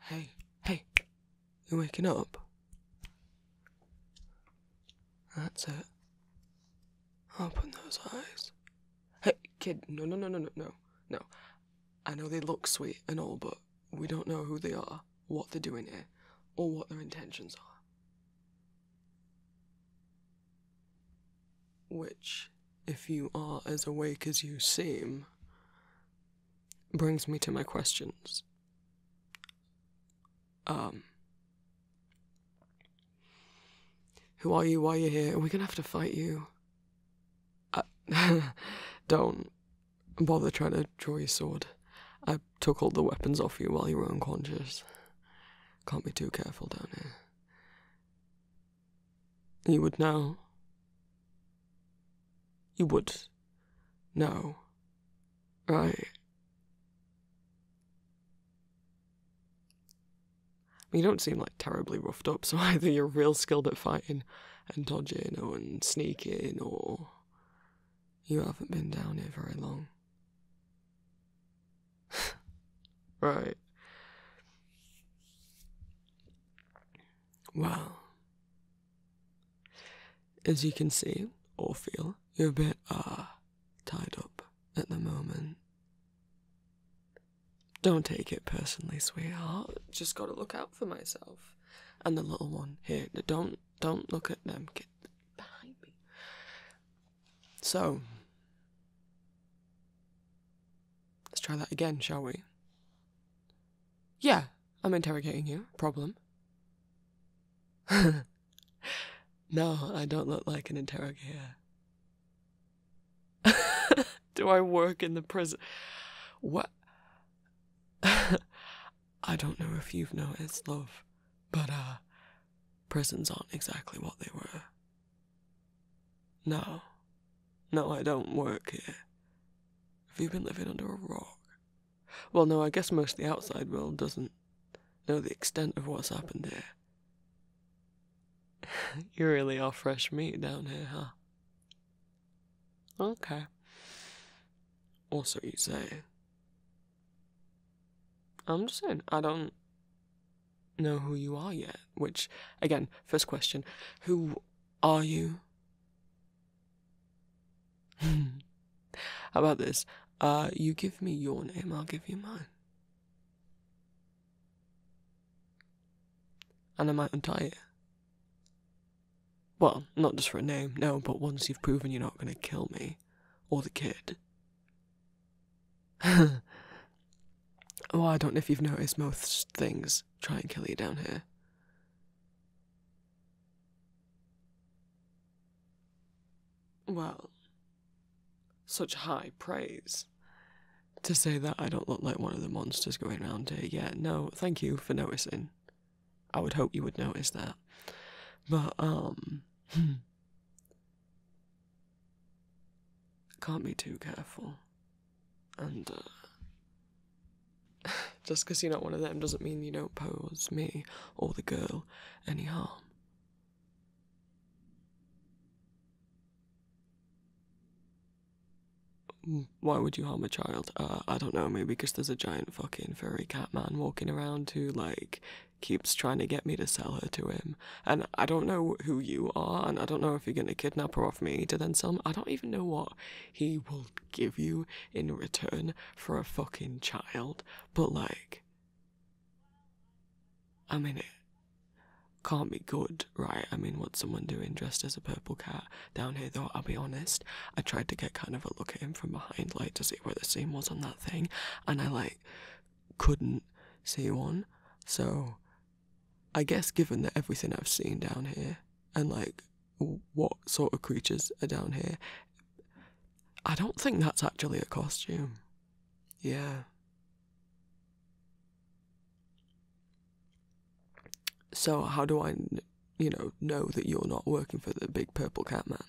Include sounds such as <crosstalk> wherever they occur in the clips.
Hey, hey, you are waking up? That's it. Open those eyes. Hey, kid, no, no, no, no, no, no, no. I know they look sweet and all, but we don't know who they are, what they're doing here, or what their intentions are. Which if you are as awake as you seem, brings me to my questions. Um, who are you? Why are you here? Are we gonna have to fight you? Uh, <laughs> don't bother trying to draw your sword. I took all the weapons off you while you were unconscious. Can't be too careful down here. You would know. You would know, right? you don't seem like terribly roughed up, so <laughs> either you're real skilled at fighting and dodging or and sneaking, or you haven't been down here very long. <laughs> right. Well, as you can see or feel, you're a bit, uh, tied up at the moment. Don't take it personally, sweetheart. Just gotta look out for myself. And the little one here. Don't don't look at them. Get behind me. So Let's try that again, shall we? Yeah, I'm interrogating you. Problem? <laughs> no, I don't look like an interrogator. <laughs> Do I work in the prison? What? <laughs> I don't know if you've noticed, love, but uh, prisons aren't exactly what they were. No. No, I don't work here. Have you been living under a rock? Well, no, I guess most of the outside world doesn't know the extent of what's happened here. <laughs> you really are fresh meat down here, huh? Okay. Also, you say. I'm just saying, I don't know who you are yet. Which, again, first question who are you? <laughs> How about this? Uh, you give me your name, I'll give you mine. And I might untie you. Well, not just for a name, no, but once you've proven you're not gonna kill me, or the kid. Oh, <laughs> I don't know if you've noticed most things try and kill you down here. Well, such high praise. To say that I don't look like one of the monsters going around here, yeah, no, thank you for noticing. I would hope you would notice that. But, um. Hmm. Can't be too careful. And uh, <laughs> just because you're not one of them doesn't mean you don't pose me or the girl any harm. Mm, why would you harm a child? Uh, I don't know, maybe because there's a giant fucking furry cat man walking around who, like, keeps trying to get me to sell her to him. And I don't know who you are, and I don't know if you're gonna kidnap her off me to then sell I don't even know what he will give you in return for a fucking child. But, like, I mean, it can't be good, right? I mean, what's someone doing dressed as a purple cat down here, though? I'll be honest, I tried to get kind of a look at him from behind, like, to see where the seam was on that thing, and I, like, couldn't see one. So, I guess given that everything I've seen down here and like what sort of creatures are down here, I don't think that's actually a costume. Yeah. So how do I, you know, know that you're not working for the big purple cat man?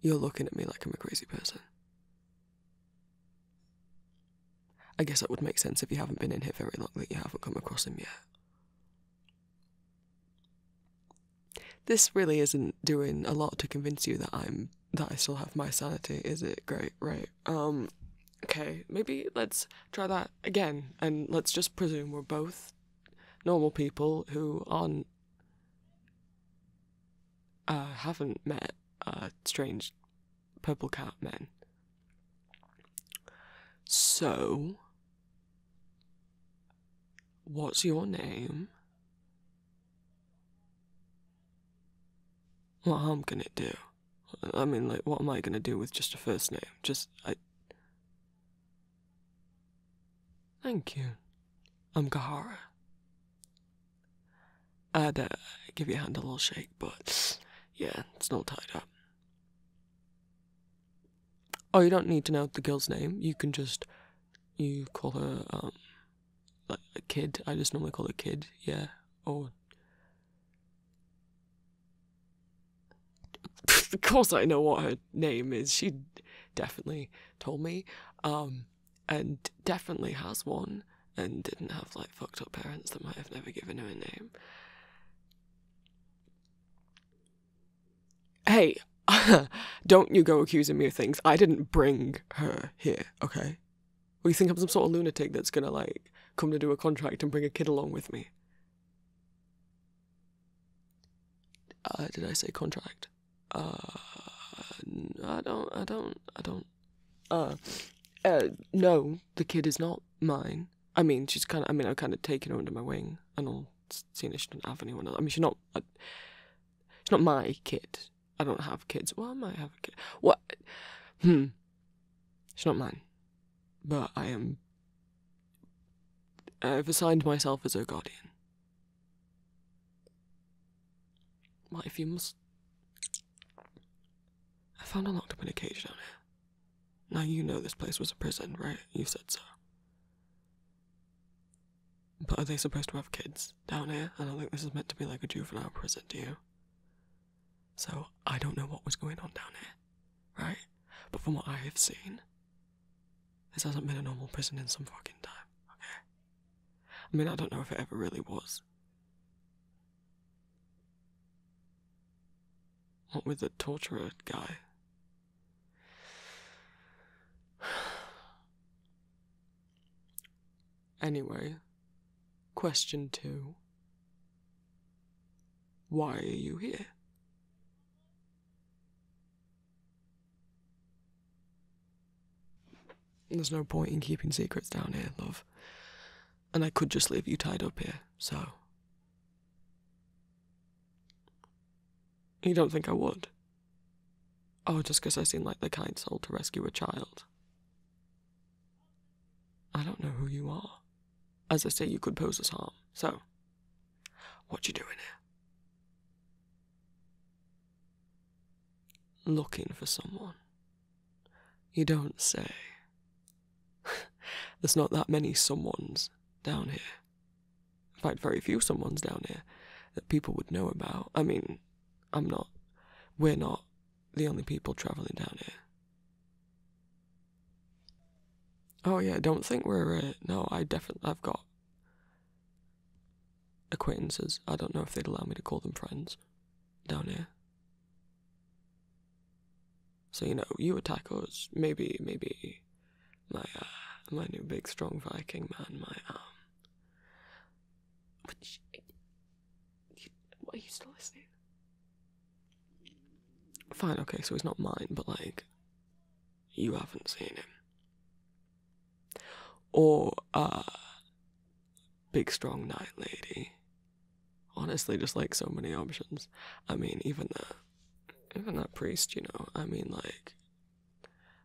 You're looking at me like I'm a crazy person. I guess that would make sense if you haven't been in here very long that you haven't come across him yet. This really isn't doing a lot to convince you that I'm that I still have my sanity, is it? Great, right. Um okay, maybe let's try that again and let's just presume we're both normal people who aren't uh haven't met a strange Purple Cat man. So, what's your name? What harm can it do? I mean, like, what am I gonna do with just a first name? Just, I. Thank you. I'm Kahara. I had to give your hand a little shake, but yeah, it's not tied up. Oh, you don't need to know the girl's name. You can just you call her um like a kid. I just normally call her kid, yeah. Oh, <laughs> of course I know what her name is. She definitely told me. Um and definitely has one and didn't have like fucked up parents that might have never given him a name. Hey, <laughs> don't you go accusing me of things. I didn't bring her here, okay? Well, you think I'm some sort of lunatic that's gonna like come to do a contract and bring a kid along with me? Uh, did I say contract? Uh, I don't, I don't, I don't, uh, uh, no, the kid is not mine. I mean, she's kind of, I mean, I've kind of taken her under my wing and i all, seeing that she doesn't have anyone else. I mean, she's not, uh, she's not my kid. I don't have kids. Well, I might have a kid. What? Hmm. She's not mine. But I am, I've assigned myself as her guardian. What if you must I found a locked up in a cage down here. Now you know this place was a prison, right? You said so. But are they supposed to have kids down here? I don't think this is meant to be like a juvenile prison, do you? So I don't know what was going on down here, right? But from what I have seen, this hasn't been a normal prison in some fucking time, okay? I mean, I don't know if it ever really was. What with the torturer guy? <sighs> Anyway, question two Why are you here? There's no point in keeping secrets down here, love and I could just leave you tied up here, so. You don't think I would? Oh, just 'cause I seem like the kind soul to rescue a child. I don't know who you are. As I say, you could pose us harm, so. What you doing here? Looking for someone. You don't say. <laughs> There's not that many someones down here. In fact, very few someones down here that people would know about. I mean, I'm not. We're not the only people travelling down here. Oh yeah, don't think we're. Uh, no, I definitely. I've got acquaintances. I don't know if they'd allow me to call them friends down here. So you know, you attack us. Maybe, maybe, my uh, my new big strong Viking man, my um. But what are you still listening? Fine, okay, so it's not mine, but like, you haven't seen him. Or uh, big strong knight lady honestly just like so many options i mean even that even that priest you know i mean like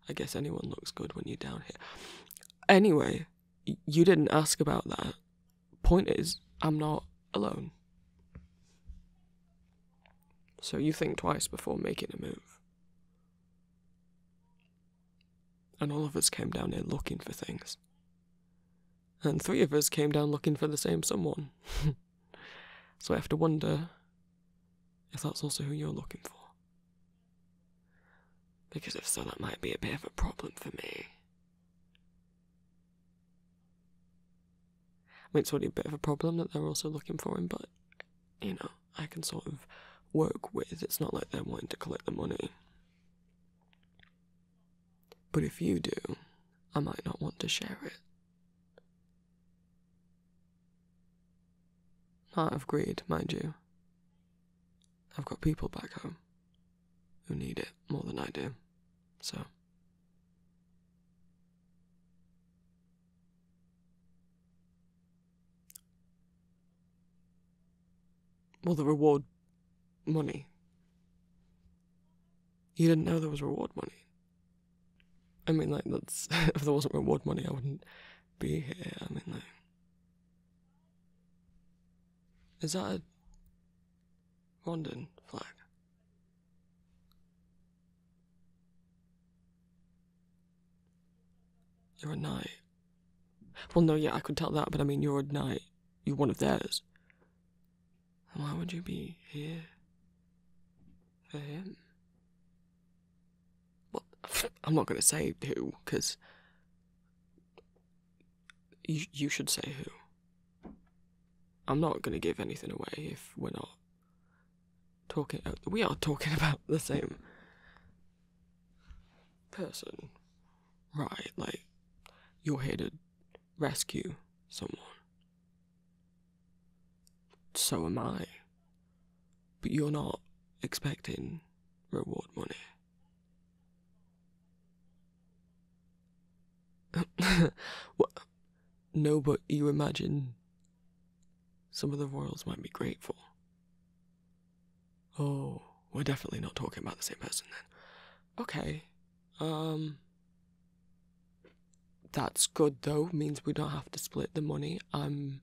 i guess anyone looks good when you're down here anyway you didn't ask about that point is i'm not alone so you think twice before making a move and all of us came down here looking for things and three of us came down looking for the same someone. <laughs> so I have to wonder if that's also who you're looking for. Because if so, that might be a bit of a problem for me. I mean, it's already a bit of a problem that they're also looking for him, but, you know, I can sort of work with. It's not like they're wanting to collect the money. But if you do, I might not want to share it. Not of greed, mind you. I've got people back home who need it more than I do, so. Will the reward money. You didn't know there was reward money. I mean, like, that's. <laughs> if there wasn't reward money, I wouldn't be here. I mean, like. Is that a. Rondon flag? You're a knight. Well, no, yeah, I could tell that, but I mean, you're a knight. You're one of theirs. Why would you be here for him? Well, I'm not going to say who, because you, you should say who. I'm not going to give anything away if we're not talking. We are talking <laughs> about the same person, right? Like, you're here rescue someone. So am I. But you're not expecting reward money. <laughs> No, but you imagine some of the royals might be grateful. Oh, we're definitely not talking about the same person then. Okay, um, that's good though. Means we don't have to split the money. Um,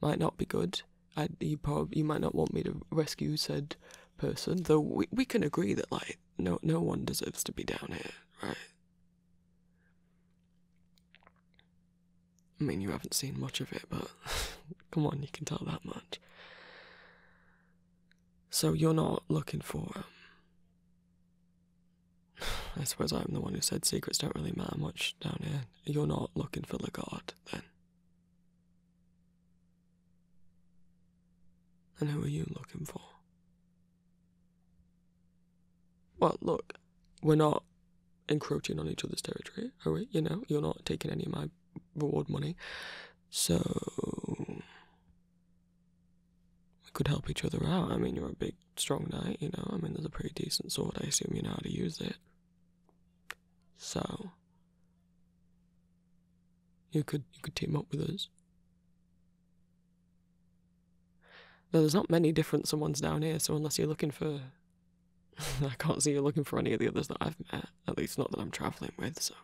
might not be good. I, you probably you might not want me to rescue said person. Though we we can agree that like no no one deserves to be down here, right? I mean, you haven't seen much of it, but <laughs> come on, you can tell that much. So you're not looking for. Um, <sighs> I suppose I'm the one who said secrets don't really matter much down here. You're not looking for the god, then. And who are you looking for? Well, look, we're not encroaching on each other's territory, are we? You know, you're not taking any of my reward money. So we could help each other out. I mean, you're a big, strong knight, you know. I mean, there's a pretty decent sword. I assume you know how to use it. So, you could you could team up with us. Now, there's not many different someone's down here, so unless you're looking for. <laughs> I can't see you looking for any of the others that I've met, at least not that I'm travelling with, so.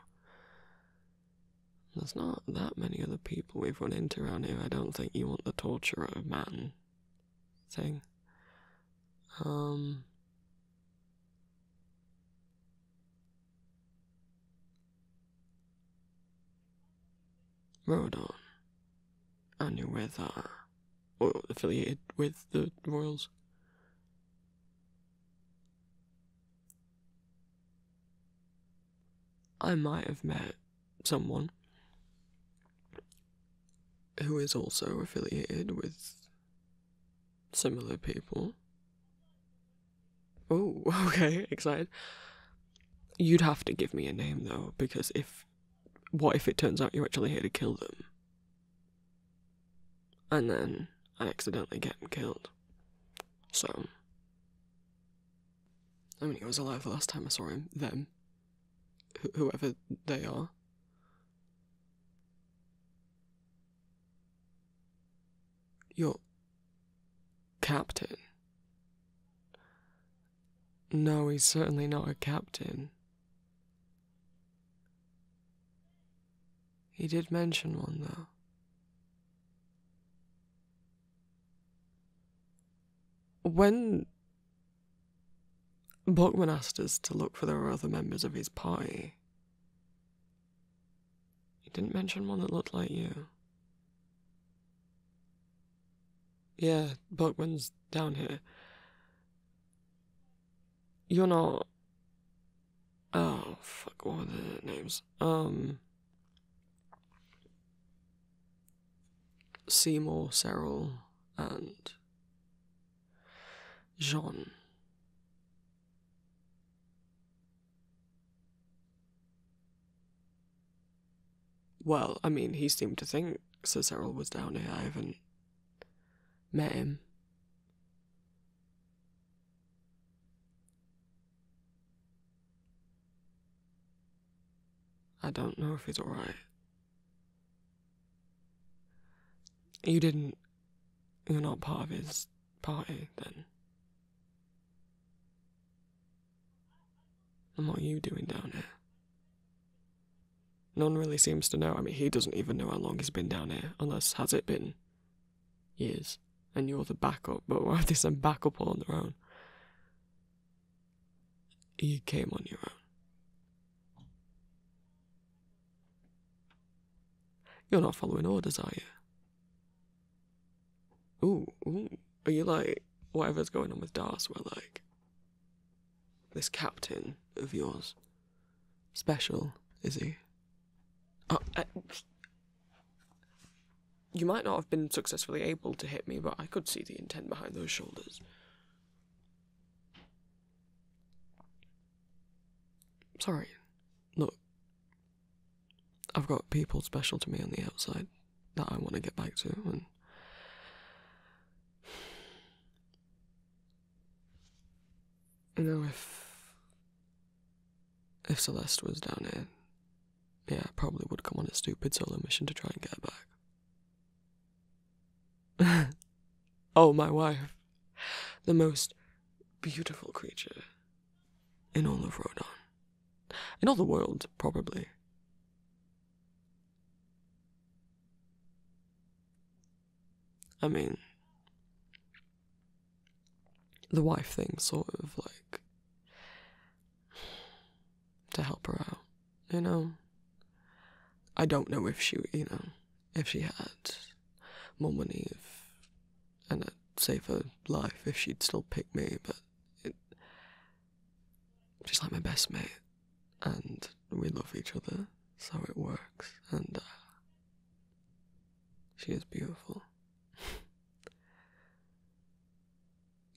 There's not that many other people we've run into around here. I don't think you want the torturer of man thing. Um. Rodon. And you with, uh, or affiliated with the Royals. I might have met someone who is also affiliated with similar people. Oh, <laughs> okay, excited. You'd have to give me a name though, because if. What if it turns out you're actually here to kill them? And then I accidentally get killed. So. I mean, he was alive the last time I saw him. Them. whoever they are. Your captain? No, he's certainly not a captain. He did mention one, though. When Buckman asked us to look for the other members of his party, he didn't mention one that looked like you. Yeah, Buckman's down here. You're not Oh fuck! What are the names? Um, Seymour, Cyril, and Jean. Well, I mean, he seemed to think Sir Cyril was down here. I haven't met him. I don't know if he's alright. You didn't. You're not part of his party, then. And what are you doing down here? None really seems to know. I mean, he doesn't even know how long he's been down here, unless has it been years, and you're the backup. But why they send backup on their own? You came on your own. You're not following orders, are you? Ooh, ooh. Are you like whatever's going on with We're like this captain of yours? Special, is he? Oh, uh, you might not have been successfully able to hit me, but I could see the intent behind those shoulders. Sorry. Look. I've got people special to me on the outside that I want to get back to, and. <sighs> You know, if if Celeste was down here, yeah, I probably would come on a stupid solo mission to try and get her back. <laughs> oh, my wife. The most beautiful creature in all of Rodon. In all the world, probably. I mean, the wife thing, sort of like to help her out, you know. I don't know if she, you know, if she had more money, if and a safer life, if she'd still pick me, but it, she's like my best mate, and we love each other, so it works, and uh, she is beautiful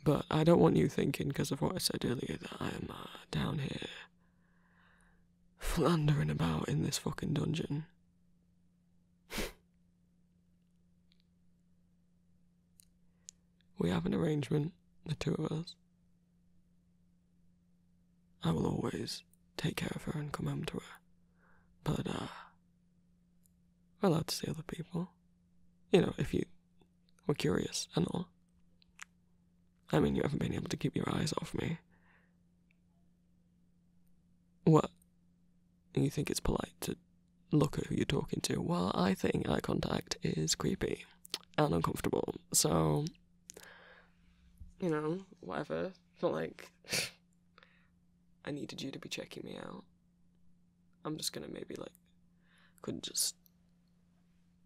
but I don't want you thinking, because of what I said earlier, that I am uh, down here floundering about in this fucking dungeon. we have an arrangement, the two of us. I will always take care of her and come home to her. But, uh, we're allowed to see other people. You know, if you were curious and all. I mean, you haven't been able to keep your eyes off me. What? You think it's polite to look at who you're talking to? Well, I think eye contact is creepy and uncomfortable. So, you know, whatever. It's not like <sighs> I needed you to be checking me out. I'm just gonna maybe like could just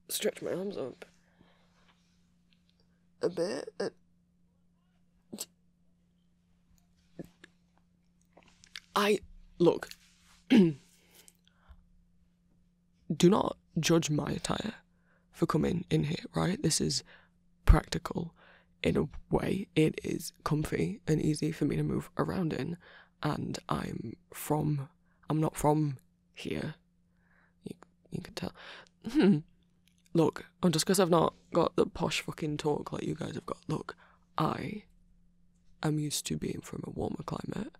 stretch my arms up a bit. Uh, I look. <clears throat> do not judge my attire for coming in here, right? This is practical in a way, it is comfy and easy for me to move around in. And I'm from, I'm not from here. You, you can tell. Hmm. Look, and just because I've not got the posh fucking talk like you guys have got, look, I am used to being from a warmer climate.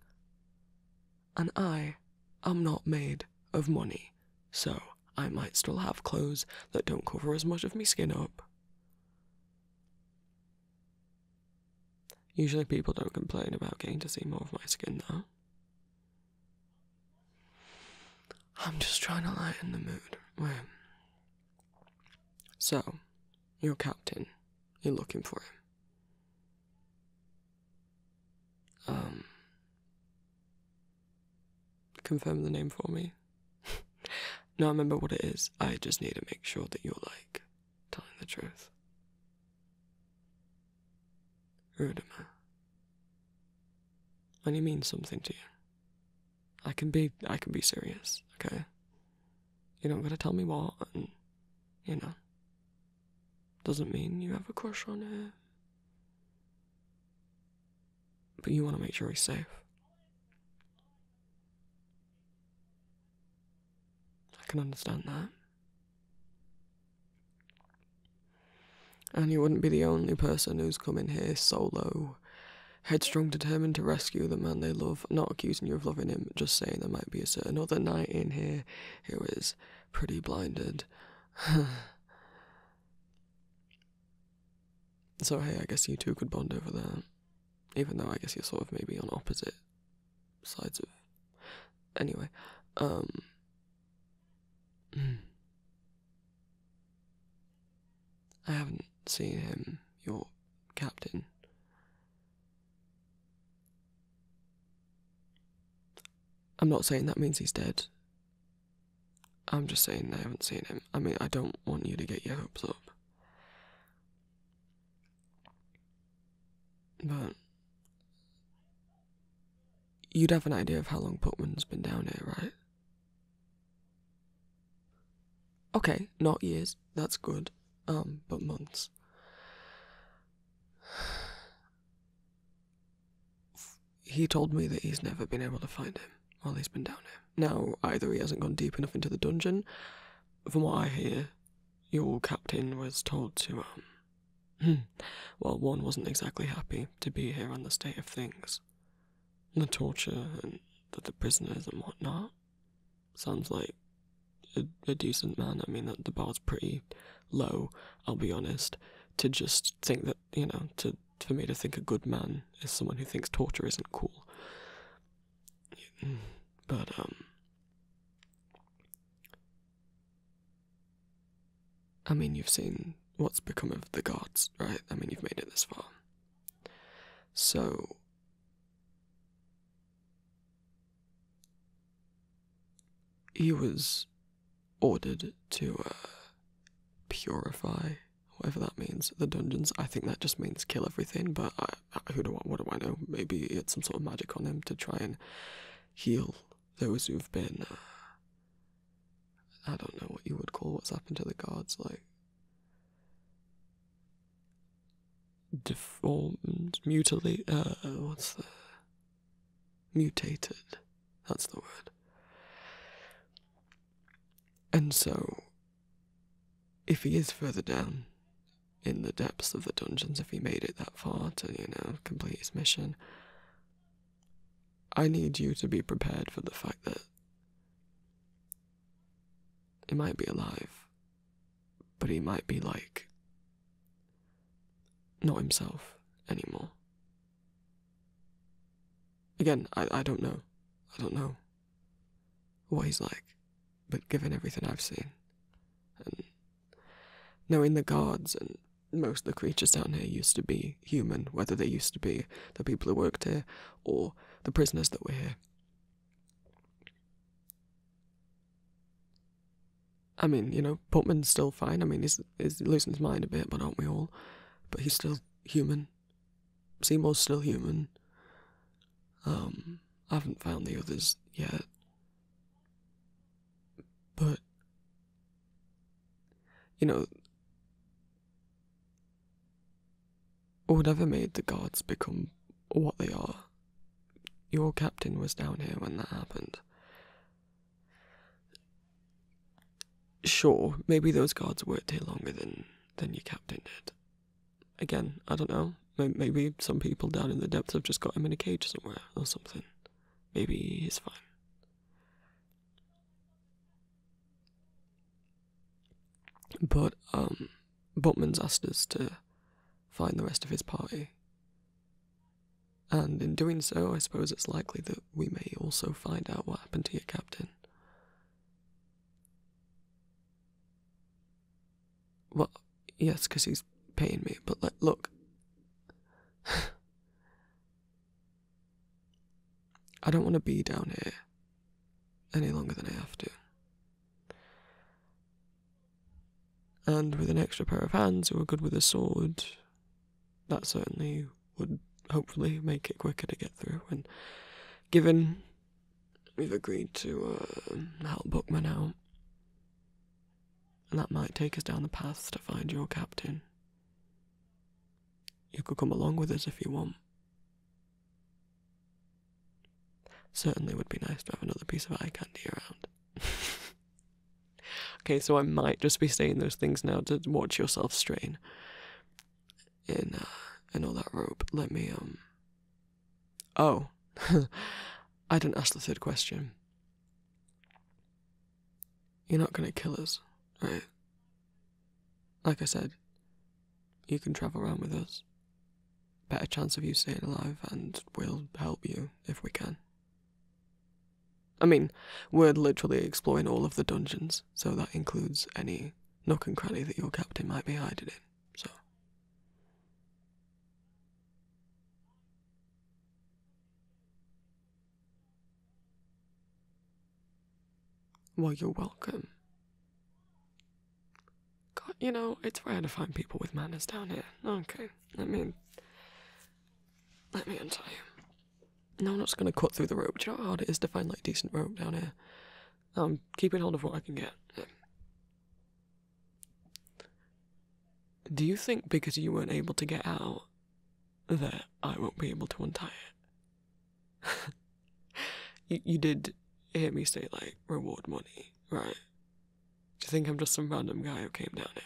And I am not made of money, so I might still have clothes that don't cover as much of me skin up. Usually, people don't complain about getting to see more of my skin, though. I'm just trying to lighten the mood. Wait. So, your captain, you're looking for him. Um, confirm the name for me. <laughs> no, I remember what it is. I just need to make sure that you're like telling the truth. Rudima. And it means something to you. I can be I can be serious, okay? You don't gotta tell me what you know. Doesn't mean you have a crush on her. But you wanna make sure he's safe. I can understand that. And you wouldn't be the only person who's come in here solo, headstrong, determined to rescue the man they love, not accusing you of loving him, just saying there might be a certain other knight in here who is pretty blinded. So, hey, I guess you two could bond over there. Even though I guess you're sort of maybe on opposite sides of. Anyway, um. <clears throat> I haven't seen him, your captain. I'm not saying that means he's dead. I'm just saying I haven't seen him. I mean, I don't want you to get your hopes up. But you'd have an idea of how long Putman's been down here, right? Okay, not years, that's good. Um, but months. <sighs> He told me that he's never been able to find him while he's been down here. Now, either he hasn't gone deep enough into the dungeon. From what I hear, your captain was told to, um. Hmm, well, one wasn't exactly happy to be here on the state of things. The torture and the, the prisoners and whatnot. Sounds like a, decent man. I mean, the, the bar's pretty low, I'll be honest. To just think that, you know, to for me to think a good man is someone who thinks torture isn't cool. <sighs> But, um. I mean, you've seen what's become of the gods, right? I mean, you've made it this far. So. He was ordered to uh, purify whatever that means. The dungeons, I think that just means kill everything. But who do I, what do I know? Maybe it's some sort of magic on him to try and heal those who've been. Uh, I don't know what you would call what's happened to the guards, like deformed, mutilated. Uh, what's the mutated? That's the word. And so if he is further down in the depths of the dungeons, if he made it that far to, you know, complete his mission, I need you to be prepared for the fact that he might be alive, but he might be like not himself anymore. Again, I I don't know. I don't know what he's like, but given everything I've seen, and knowing the guards and most of the creatures down here used to be human, whether they used to be the people who worked here or the prisoners that were here. I mean, you know, Putman's still fine. I mean, he's, he's losing his mind a bit, but aren't we all? But he's still human. Seymour's still human. Um, I haven't found the others yet. But, you know, whatever made the guards become what they are, your captain was down here when that happened. Sure, maybe those guards worked here longer than, than your captain did again, I don't know. Maybe some people down in the depths have just got him in a cage somewhere or something. Maybe he's fine. But um, asked us to find the rest of his party. And in doing so, I suppose it's likely that we may also find out what happened to your captain. Well, yes, because he's paying me, but look. <laughs> I don't want to be down here any longer than I have to. And with an extra pair of hands who are good with a sword, that certainly would hopefully make it quicker to get through. And given We've agreed to uh, help Bookman now, And that might take us down the path to find your captain. You could come along with us if you want. Certainly would be nice to have another piece of eye candy around. <laughs> okay, so I might just be saying those things now to watch yourself strain. In uh, in all that rope, let me um Oh, <laughs> I didn't ask the third question. You're not gonna kill us, right? Like I said, you can travel around with us. Better chance of you staying alive, and we'll help you if we can. I mean, we're literally exploring all of the dungeons, so that includes any nook and cranny that your captain might be hiding in. So. Well, you're welcome. God, you know, it's rare to find people with manners down here. Okay, let me. Let me untie you. No, I'm not gonna cut through the rope. you know how hard it is to find, like, decent rope down here? I'm um, keeping hold of what I can get. Do you think because you weren't able to get out that I won't be able to untie it? <laughs> you, you did hear me say, like, reward money, right? Do you think I'm just some random guy who came down here?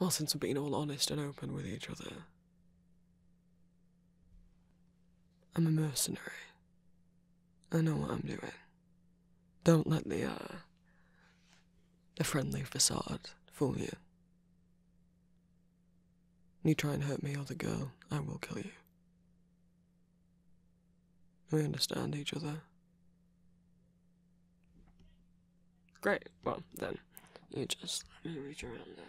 Well, since we have been all honest and open with each other, I'm a mercenary. I know what I'm doing. Don't let the, uh, the friendly facade fool you. You try and hurt me or the girl, I will kill you. We understand each other. Great, well, then, you just let me reach around there.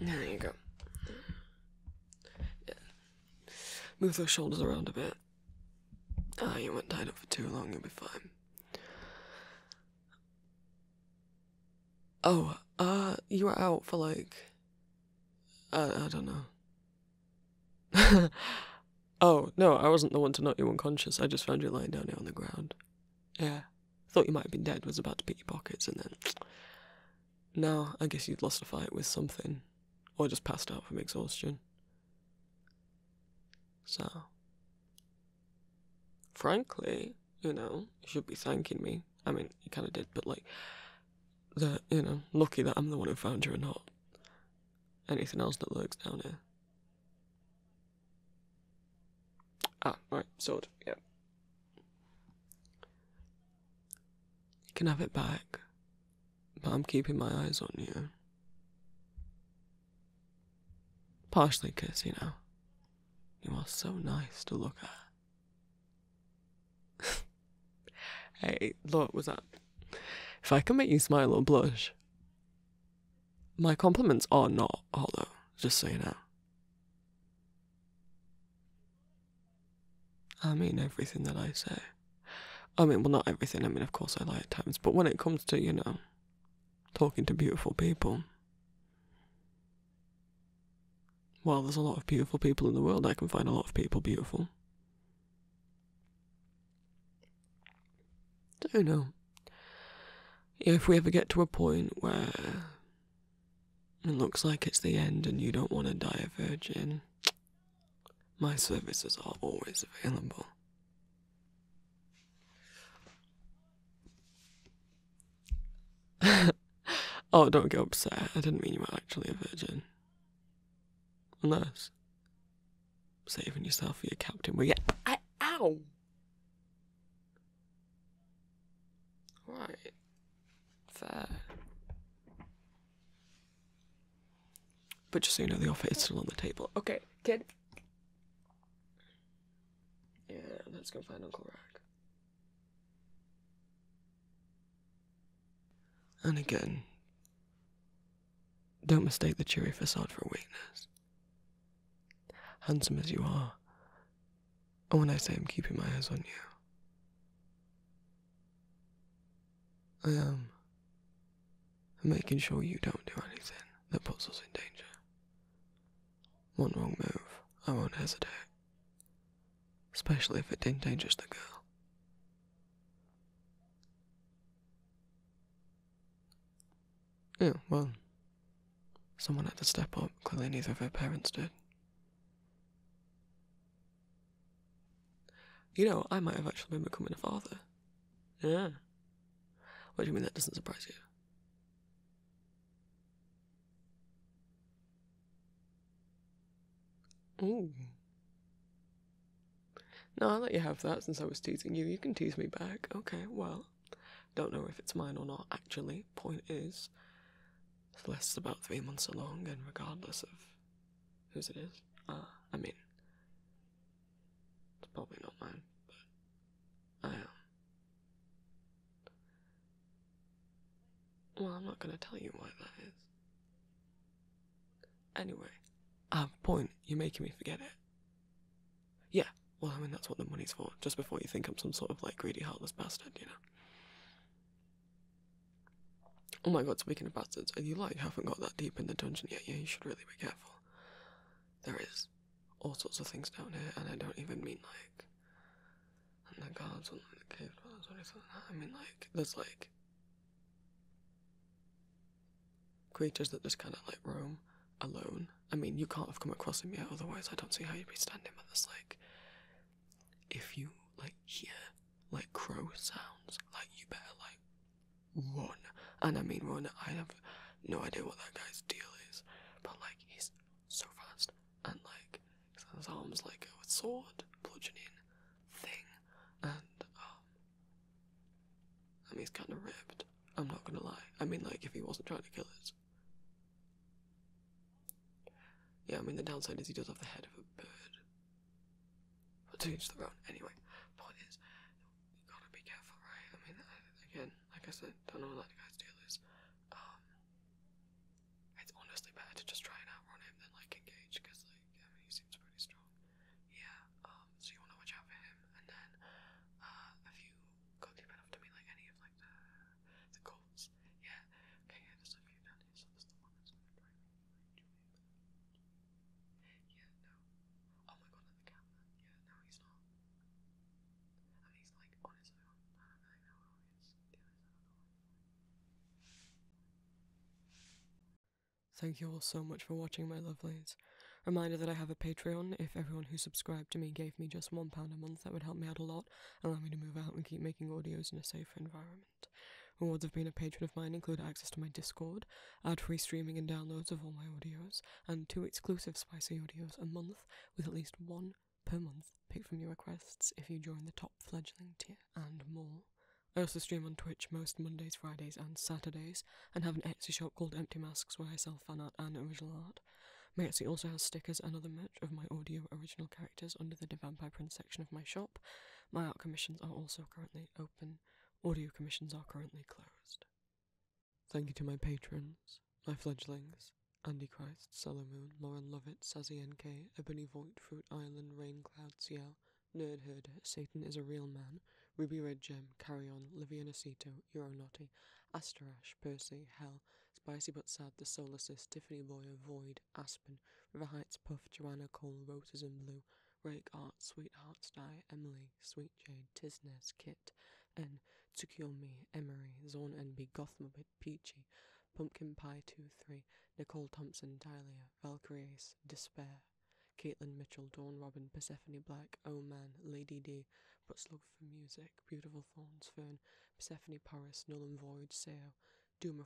There you go. Yeah. Move those shoulders around a bit. Ah, you weren't tied up for too long, you'll be fine. Oh, uh, you were out for like, uh, I don't know, <laughs> oh, no, I wasn't the one to knock you unconscious. I just found you lying down here on the ground. Yeah. Thought you might have been dead, was about to pick your pockets, and then. <tsk> Now, I guess you'd lost a fight with something. Or just passed out from exhaustion. So. Frankly, you know, you should be thanking me. I mean, you kind of did, but like, that, you know, lucky that I'm the one who found you or not anything else that lurks down here. Ah, right, sword, yeah. You can have it back, but I'm keeping my eyes on you. Partially because, you know, you are so nice to look at. <laughs> hey, look, was that? If I can make you smile or blush, my compliments are not hollow, just so you know. I mean everything that I say. I mean, well, not everything. I mean, of course, I lie at times, but when it comes to, you know, talking to beautiful people, well, there's a lot of beautiful people in the world. I can find a lot of people beautiful. Don't know. If we ever get to a point where it looks like it's the end and you don't want to die a virgin, my services are always available. <laughs> oh, don't get upset. I didn't mean you were actually a virgin. Unless saving yourself for your captain. Well, yeah. ow! Right. Fair. But just so you know, the offer is still on the table. Okay, kid. Yeah, let's go find Uncle Rag. And again, don't mistake the cheery facade for weakness. Handsome as you are, and when I say I'm keeping my eyes on you, I am making sure you don't do anything that puts us in danger. One wrong move, I won't hesitate, especially if it endangers the girl. Yeah, well, someone had to step up. Clearly, neither of her parents did. You know, I might have actually been becoming a father. Yeah. What do you mean that doesn't surprise you? Ooh. Now I'll let you have that since I was teasing you. You can tease me back. Okay, well, don't know if it's mine or not, actually. Point is, it's less about three months along, and regardless of whose it is, uh, I mean, it's probably not mine, but I am. Um, well, I'm not gonna tell you why that is. Anyway, I have a point. You're making me forget it. Yeah, well, I mean, that's what the money's for, just before you think I'm some sort of like greedy, heartless bastard, you know. Oh my god, speaking of bastards, and you like haven't got that deep in the dungeon yet, yeah, you should really be careful. There is all sorts of things down here, and I don't even mean like. And the guards and the cave dwellers or anything like that. I mean, like, there's like creatures that just kind of like roam alone. I mean, you can't have come across them yet, otherwise, I don't see how you'd be standing with this. Like, if you like hear like crow sounds, like you better like run. And I mean, run. I have no idea what that guy's deal is, but like he's so fast and like his arms like a sword bludgeoning thing, and um, I mean, he's kind of ripped. I'm not gonna lie. I mean, like, if he wasn't trying to kill us. Yeah, I mean, the downside is he does have the head of a bird. But to each their own. Anyway, point is, you gotta be careful, right? I mean, uh, again, like I said, don't know what that guy's deal is. Um, it's honestly better to just try and outrun him than, like, engage, because, like, he seems pretty strong yeah, um, so you wanna watch out for him. And then, uh, have you got deep enough to meet like any of like the the cults? Yeah, okay, yeah, there's a few down here, so that's the one that's gonna drive me. Yeah, no. Oh my god, at the camera. Yeah, no, he's not. I he's like on his own. I Thank you all so much for watching, my lovelies. Reminder that I have a Patreon. If everyone who subscribed to me gave me just £1 a month, that would help me out a lot, allow me to move out and keep making audios in a safer environment. Rewards of being a patron of mine include access to my Discord, ad free streaming and downloads of all my audios, and two exclusive spicy audios a month, with at least one per month picked from your requests if you join the top fledgling tier, and more. I also stream on Twitch most Mondays, Fridays, and Saturdays, and have an Etsy shop called Empty Masks where I sell fan art and original art. My Etsy also has stickers and other merch of my audio original characters under the Vampire Prince section of my shop. My art commissions are also currently open. Audio commissions are currently closed. Thank you to my patrons, my fledglings, Andy Christ, Moon, Lauren Lovett, Sazzy NK, Ebony Voigt, Fruit Island, Raincloud, Ciel, Nerd Herder, Satan is a Real Man, Ruby Red Gem, carry on. Carrion, sito, Euro Euronotti, Asterash, Percy, Hell, Spicy But Sad, The Solacist, Tiffany Boyer, Void, Aspen, River Heights, Puff, Joanna Cole, Roses in Blue, Rake Art, Sweethearts Die, Emily, Sweet Jade, Tisnes, Kit, N, Tsukiyomi, Emery, Zorn NB, Gothmobit, Peachy, Pumpkin Pie 2 3, Nicole Thompson, Dahlia, Valkyries, Despair, Caitlin Mitchell, Dawn Robin, Persephone Black, Oh Man, Lady D, But for Music, Beautiful Thorns Fern, Persephone Paris, Null and Void, Seo,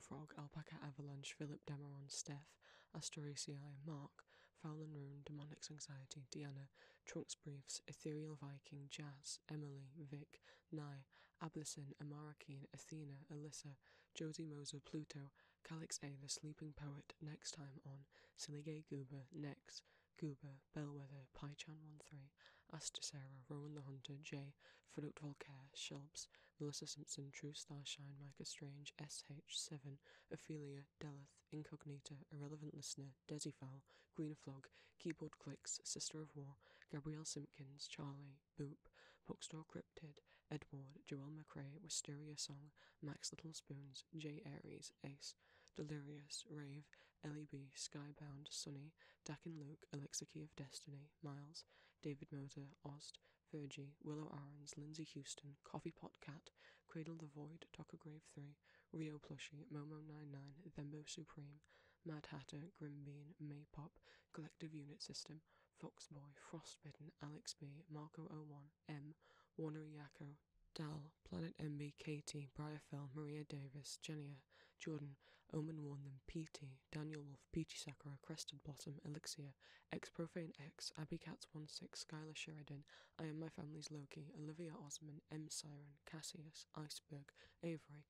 Frog, Alpaca Avalanche, Philip Demeron, Steph, Asteraceae, Mark, Foul and Rune, Demonics Anxiety, Diana, Trunks Briefs, Ethereal Viking, Jazz, Emily, Vic, Nye, Ablysin, Amarakeen, Athena, Alyssa, Josie Moser, Pluto, Calix A, The Sleeping Poet, Next Time on Silly Gay Goober, Nex, Goober, Bellwether, Pychan13, Astasera, Rowan the Hunter, J, Product Volcare, Shelps, Melissa Simpson, True Starshine, Micah Strange, SH7, Ophelia, Delith, Incognita, Irrelevant Listener, Desifowl, Green Flog, Keyboard Clicks, Sister of War, Gabrielle Simpkins, Charlie, Boop, Bookstore Cryptid, Edward, Joel McRae, Wisteria Song, Max Little Spoons, J. Aries, Ace, Delirious, Rave, L E B Skybound, Sunny, Dakin Luke, Elixir Key of Destiny, Miles, David Motor, Ost, Virgie, Willow Arons, Lindsay Houston, Coffee Pot Cat, Cradle the Void, Tucker Grave 3, Rio Plushie, Momo99, Thembo Supreme, Mad Hatter, Grimbean, Maypop, Collective Unit System, Foxboy, Frostbitten, Alex B, Marco01, M. Warner Yako, Dal, Planet MB, Katie, Briarfell, Maria Davis, Jenia, Jordan, Omen Warnham, PT, Daniel Wolf, Peachy Sakura, Crested Blossom, Elixir, X Profane X, Abby Cats 16, Skylar Sheridan, I Am My Family's Loki, Olivia Osman, M Siren, Cassius, Iceberg, Avery,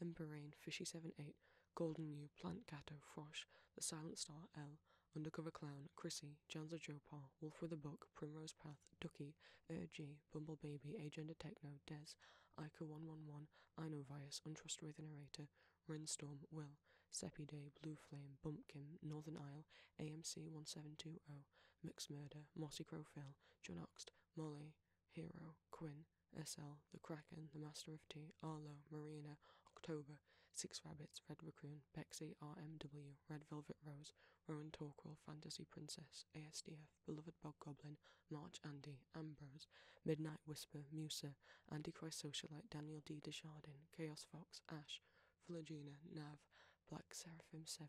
M Emberane, Fishy Eight Golden New, Plant Gato, Frosh, The Silent Star L, Undercover Clown, Chrissy, Polly, Janza Jopal, Wolf with a Book, Primrose Path, Ducky, Urg, Bumble Baby, Agenda Techno, Des, Ica111, Inovirus, Untrustworthy Narrator, Rinstorm, Will, Seppi Day, Blue Flame, Bumpkin, Northern Isle, AMC1720, Mixed Murder, Mossy Crow Phil, John Oxt, Molly, Hero, Quinn, SL, The Kraken, The Master of Tea, Arlo, Marina, October, Six Rabbits, Red Raccoon, Bexy, RMW, Red Velvet Rose, Rowan Torquil, Fantasy Princess, ASDF, Beloved Bog Goblin, March Andy, Ambrose, Midnight Whisper, Musa, Antichrist Socialite, Daniel D. Desjardins, Chaos Fox, Ash, Philogena, Nav, Black Seraphim 7,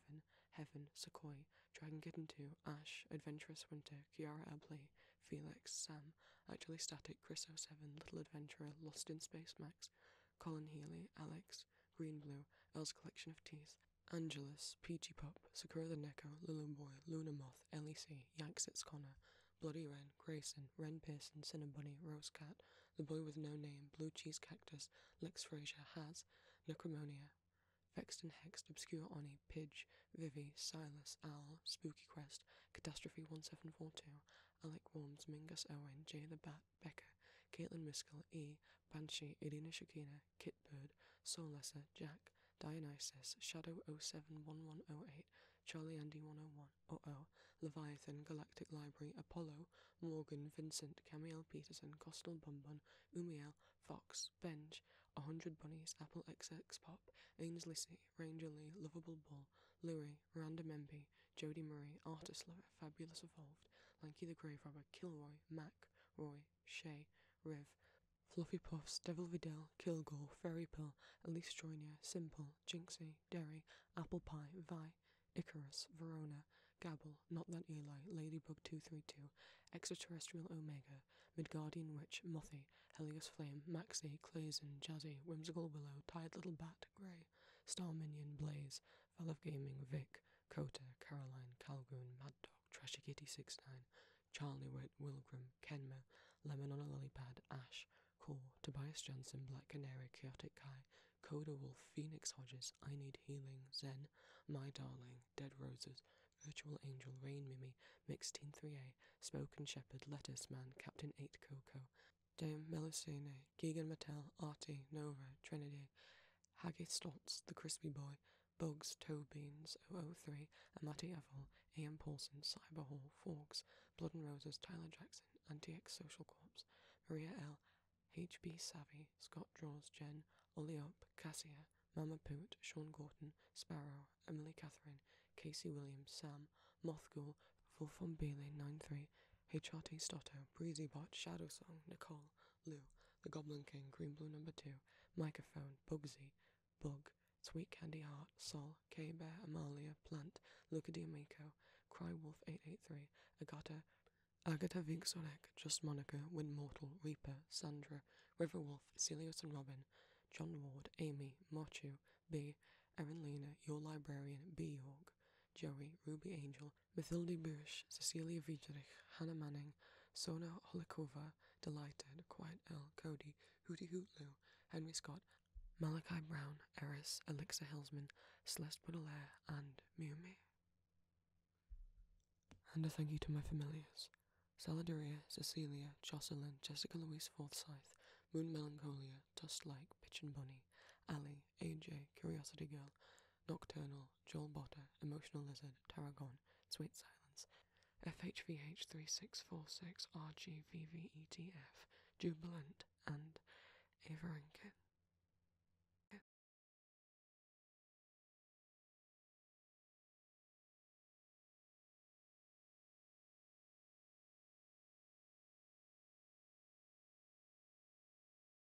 Heaven, Sequoia, Dragon Kitten 2, Ash, Adventurous Winter, Kiara Abley, Felix, Sam, Actually Static, Chris 07, Little Adventurer, Lost in Space Max, Colin Healy, Alex, Green Blue, Elle's Collection of Teas, Angelus, Peachy Pop, Sakura the Neko, Lulu Boy, Luna Moth, LEC, Yanks It's Connor, Bloody Wren, Grayson, Wren Pearson, Cinnabunny, Rose Cat, The Boy with No Name, Blue Cheese Cactus, Lex Fraser, Has, Necromonia, Vexed and Hexed, Obscure Oni, Pidge, Vivi, Silas, Al, Spooky Quest, Catastrophe 1742, Alec Worms, Mingus Owen, J, the Bat, Becca, Caitlin Miskell, E, Banshee, Irina Shakina, Kit Bird, Soul Lesser, Jack, Dionysus, Shadow 071108, Charlie Andy 101, Uh-oh, Leviathan, Galactic Library, Apollo, Morgan, Vincent, Camille Peterson, Costal Bonbon, Umiel, Fox, Benj, A Hundred Bunnies, Apple X Pop, Ainsley Ranger Lee, Lovable Bull, Louis, Random MP, Jody Marie Artisler, Fabulous Evolved, Lanky the Grave Robber, Kilroy, Mac, Roy, Shay, Riv, Fluffy Puffs, Devil Vidal, Kilgore, Fairy Pill, Elise Joyner, Simple, Jinxie, Dairy Apple Pie, Vi, Icarus, Verona, Gabble, Not That Eli, Ladybug 232, Extraterrestrial Omega, Midgardian Witch, Mothy, Helios Flame, Maxie, Clazen, Jazzy, Whimsical Willow, Tired Little Bat, Grey, Star Minion, Blaze, Valve Gaming, Vic, Cota Caroline, Calgoun Mad Dog, Trashy Kitty 69, Charlie Witt, Wilgram, Kenma, Lemon on a Lollipop Ash, Core, Tobias Johnson, Black Canary, Chaotic Kai, Coda Wolf, Phoenix Hodges, I Need Healing, Zen, My Darling, Dead Roses, Virtual Angel, Rain Mimi, Mixteen 3A, Spoken Shepherd, Lettuce Man, Captain 8 Coco, Dame Melusine, Keegan Mattel, Artie, Nova, Trinity, Haggy Stotts, The Crispy Boy, Bugs, Toe Beans, 003, and Matty Avil, Ian Paulson, Cyber Hall, Forks, Blood and Roses, Tyler Jackson, Anti-X Social Corps, Maria L, H B Savvy, Scott Draws, Jen, Ollie Up, Cassia, Mama Poot, Sean Gorton, Sparrow, Emily Catherine, Casey Williams, Sam, Mothgul, Fulfon Bailey 93, HRT Stotto, Breezy Bot, Shadow Song, Nicole, Lou, The Goblin King, Green Blue Number 2, Microphone, Bugsy, Bug, Sweet Candy Heart, Sol, K Bear, Amalia, Plant, Luca D'Amico, Cry Wolf 883, Agata, Agata Vigsorek, Just Monica, Wind Mortal, Reaper, Sandra, River Wolf, Celius and Robin, John Ward, Amy, Mochu, B, Erin Lena, Your Librarian, B York, Joey, Ruby Angel, Mathilde Bush, Cecilia Wiedrich, Hannah Manning, Sona Holikova, Delighted, Quiet L, Cody, Hooty Hootlu, Henry Scott, Malachi Brown, Eris, Elixir Hillsman, Celeste Baudelaire, and Miumi. And a thank you to my familiars. Saladuria, Cecilia, Jocelyn, Jessica Louise Forsyth, Moon Melancholia, Dust Like, Pitch and Bunny, Ally, AJ, Curiosity Girl, Nocturnal, Mill, Joel Botter, Emotional Lizard, Tarragon, Sweet Silence, FHVH3646RGVVETF, Jubilant, and Averenkin.